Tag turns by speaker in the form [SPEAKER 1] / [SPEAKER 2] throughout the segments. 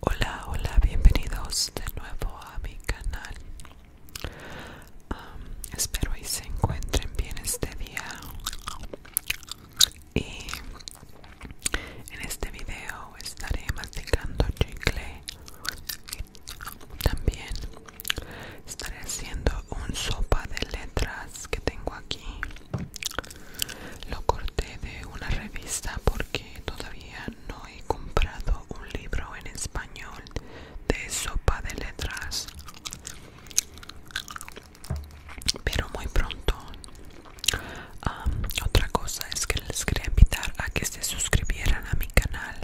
[SPEAKER 1] Hola, hola, bienvenidos de nuevo a mi canal. espero y se encuentren bien este día. Y en este video estaré masticando chicle. También estaré haciendo un sopa de letras que tengo aquí. Lo corté de una revista porque todavía no he comprado un libro en español de sopa de letras. Pero muy pronto. otra cosa es que les quería invitar a que se suscribieran a mi canal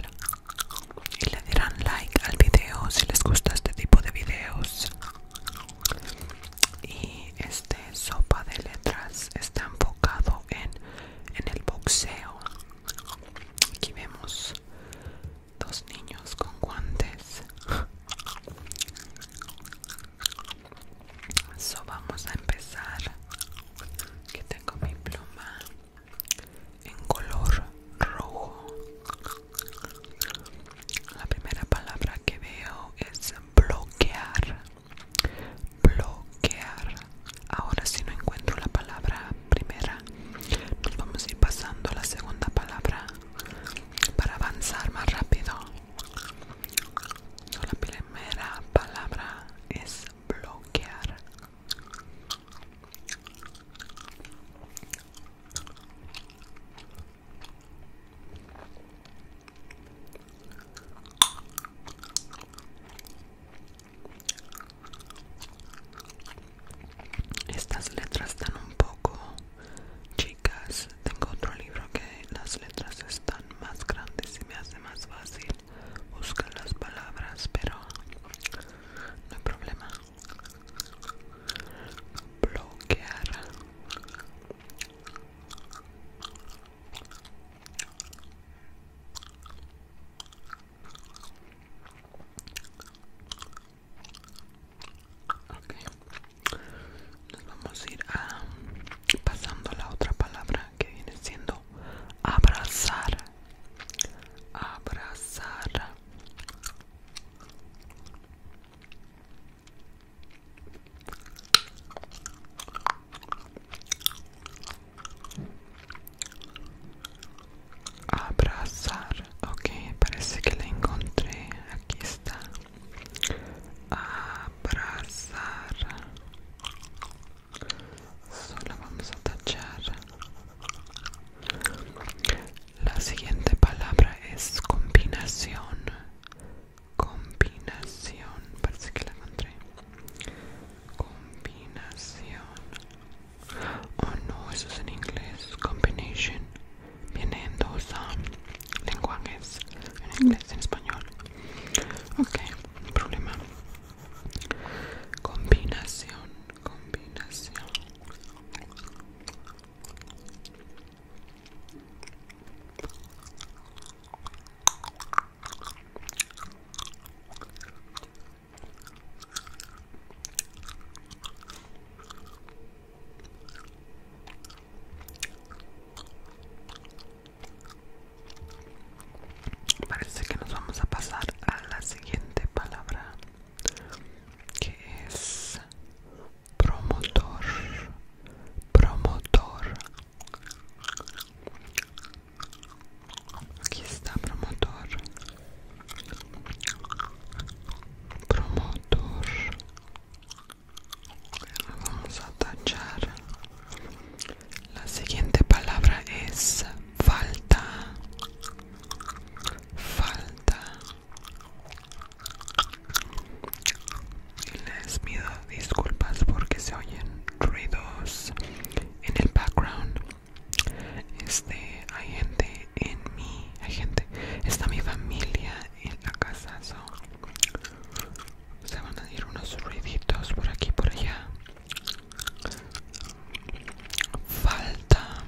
[SPEAKER 1] y le dirán like al video si les gusta este tipo de videos y este sopa de letras está enfocado en, el boxeo aquí vemos dos niños con guantes so vamos a empezar que tengo mi pluma en color rojo la primera palabra que veo es bloquear. Bloquear. Ahora si no encuentro la palabra primera, nos vamos a ir pasando a la segunda palabra para avanzar más rápido. la primera palabra es bloquear. Estas letras están un poco chicas. Tengo otro libro que las letras están más grandes y me hace más fácil buscar las palabras, pero no hay problema. Bloquear vamos a ir pasando a la otra palabra que viene siendo abrazar. Abrazar. Abrazar. Ok, parece que la encontré. Aquí está. Abrazar. Solo vamos a tachar. La siguiente palabra es combinación combinación parece que la encontré combinación oh no eso es en inglés combination viene en dos lenguajes en inglés en español ok no problema combinación combinación Parece que nos vamos a pasar a la siguiente palabra, que es promotor promotor aquí está promotor promotor vamos a tachar la siguiente palabra es falta falta les pido disculpas porque se oyen ruidos en el background. Este, hay gente en mi, hay gente, está mi familia en la casa. se van a ir unos ruiditos por aquí por allá. Falta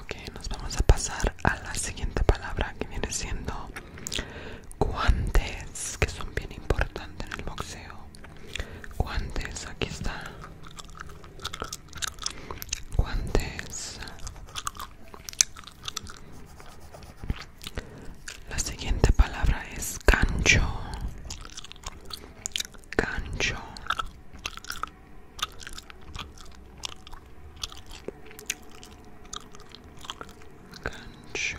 [SPEAKER 1] Ok, nos vamos a pasar a la siguiente palabra que viene siendo guantes, que son bien importantes en el boxeo guantes, aquí está. Guantes. La siguiente palabra es cancho. Cancho. Gancho.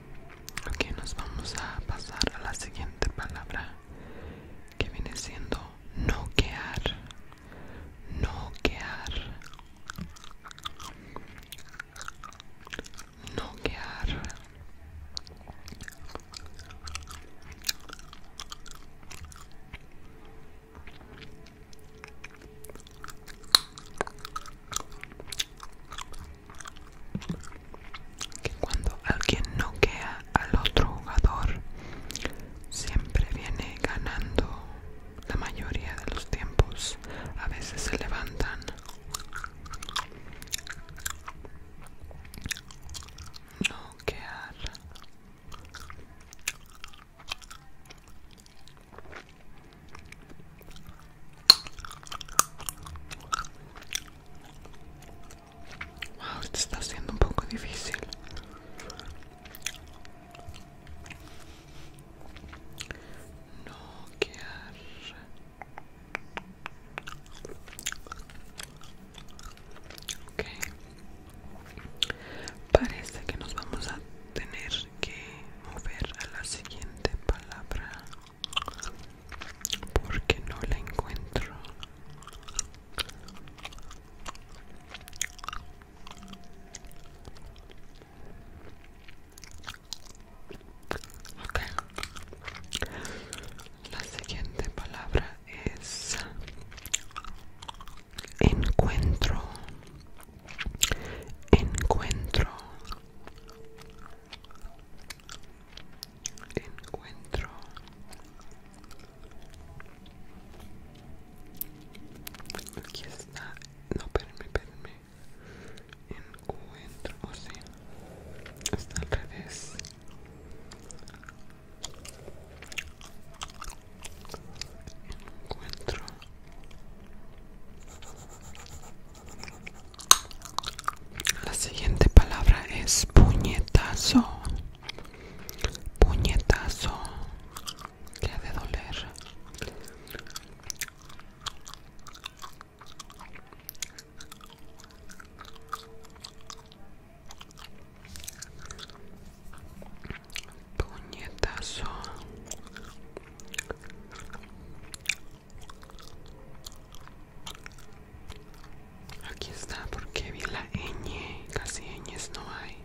[SPEAKER 1] Ok, nos vamos a pasar a la siguiente palabra que viene siendo noquear. Noquear. Noquear que cuando alguien noquea al otro jugador siempre viene ganando la mayoría de los tiempos a veces se levantan noquear Wow, esto está siendo un poco difícil. No Ok. Parece que nos vamos a tener que mover a la siguiente palabra porque no la encuentro la siguiente palabra es encuentro encuentro encuentro aquí está no perme perme encuentro o oh, sea está al revés encuentro la siguiente palabra es puñetazo. Puñetazo. Que ha de doler. Puñetazo. Aquí está, porque vi la ñ, casi ñes no hay.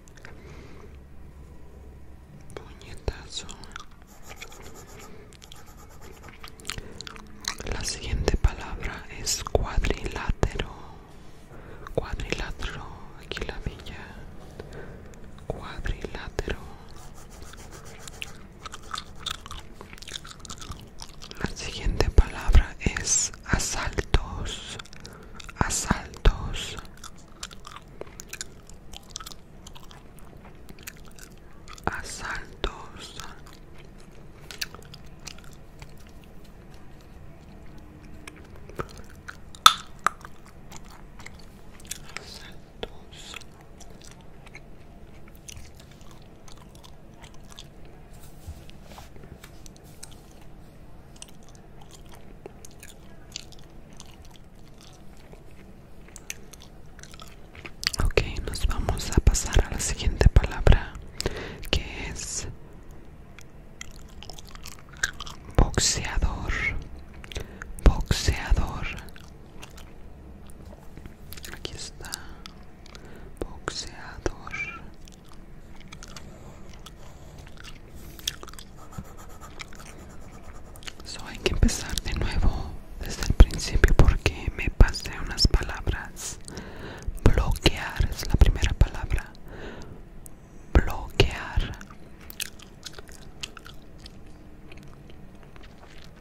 [SPEAKER 1] Puñetazo. La siguiente palabra es cuadrilátero. Cuadrilátero, aquí la villa. Cuadrilátero. La siguiente palabra es asaltos, asaltos. Asaltos. Asaltos. Ok, nos vamos a pasar a la siguiente palabra que es boxeador, boxeador, Aquí está. Boxeador. Solo hay que empezar de nuevo desde el principio porque me pasé unas palabras. Bloquear es la primera palabra. Bloquear.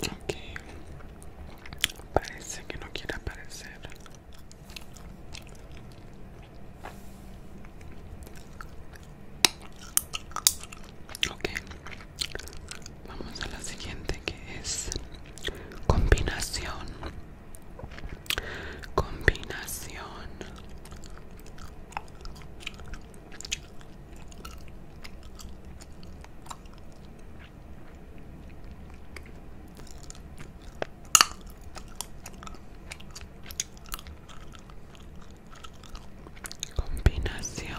[SPEAKER 1] Okay, parece que no quiere aparecer. Okay, vamos a la siguiente que es combinación. Combinación. Combinación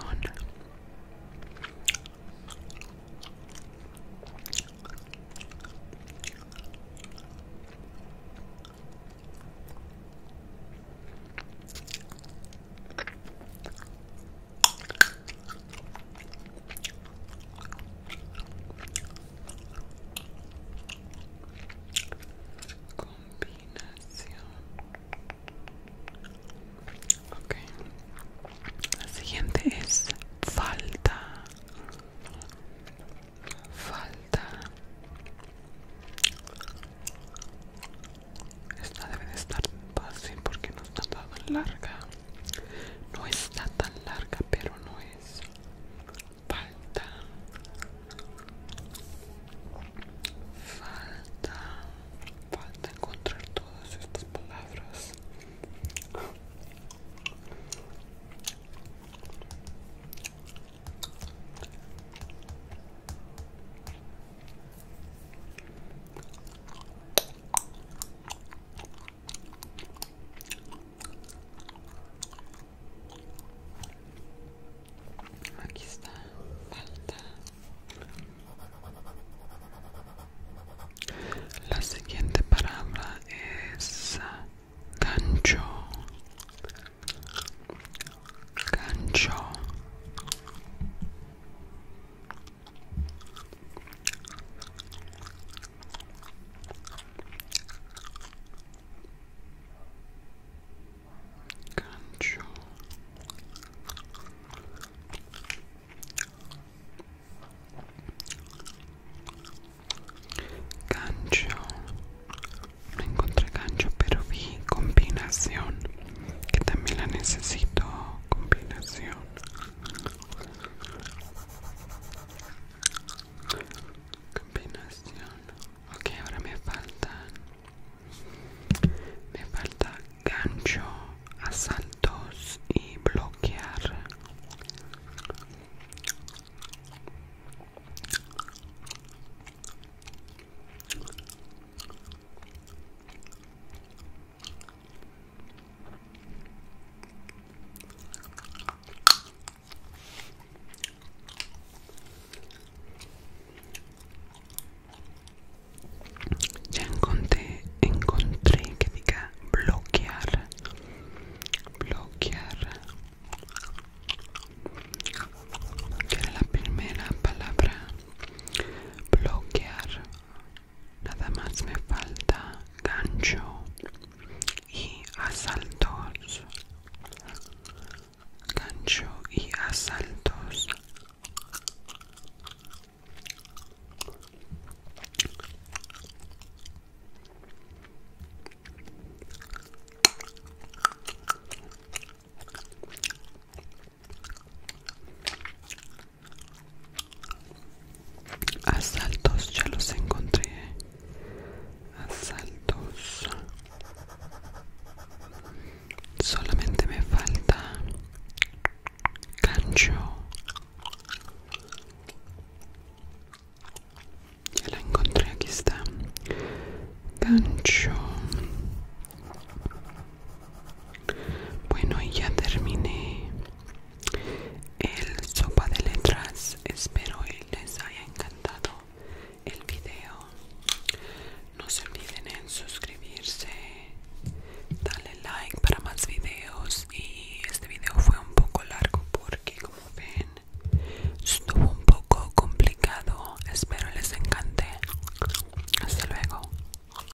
[SPEAKER 1] Combinación. okay. La siguiente es falta. Falta. Esta debe de estar fácil porque no está tan larga. No está tan larga, pero no es falta. Falta. Falta encontrar todas estas palabras. Aquí está, falta la siguiente palabra es gancho, cancho Gancho. Gancho. No encontré gancho, pero vi combinación. Que también la necesito. Combinación. Combinación. Ok, ahora me falta Me falta gancho, asaltos y bloquear. Ya encontré, encontré que diga bloquear, bloquear, que era la primera palabra, bloquear, nada más me falta gancho y asaltos gancho y asaltos Asaltos, ya los encontré. Asaltos. Solamente me falta Cancho. Ya la encontré, aquí está. Cancho bueno, y ya terminé el sopa de letras. Espero les haya encantado el video. No se olviden en suscribirse, darle like para más videos. Y este video fue un poco largo porque, como ven, estuvo un poco complicado. Espero les encante. Hasta luego.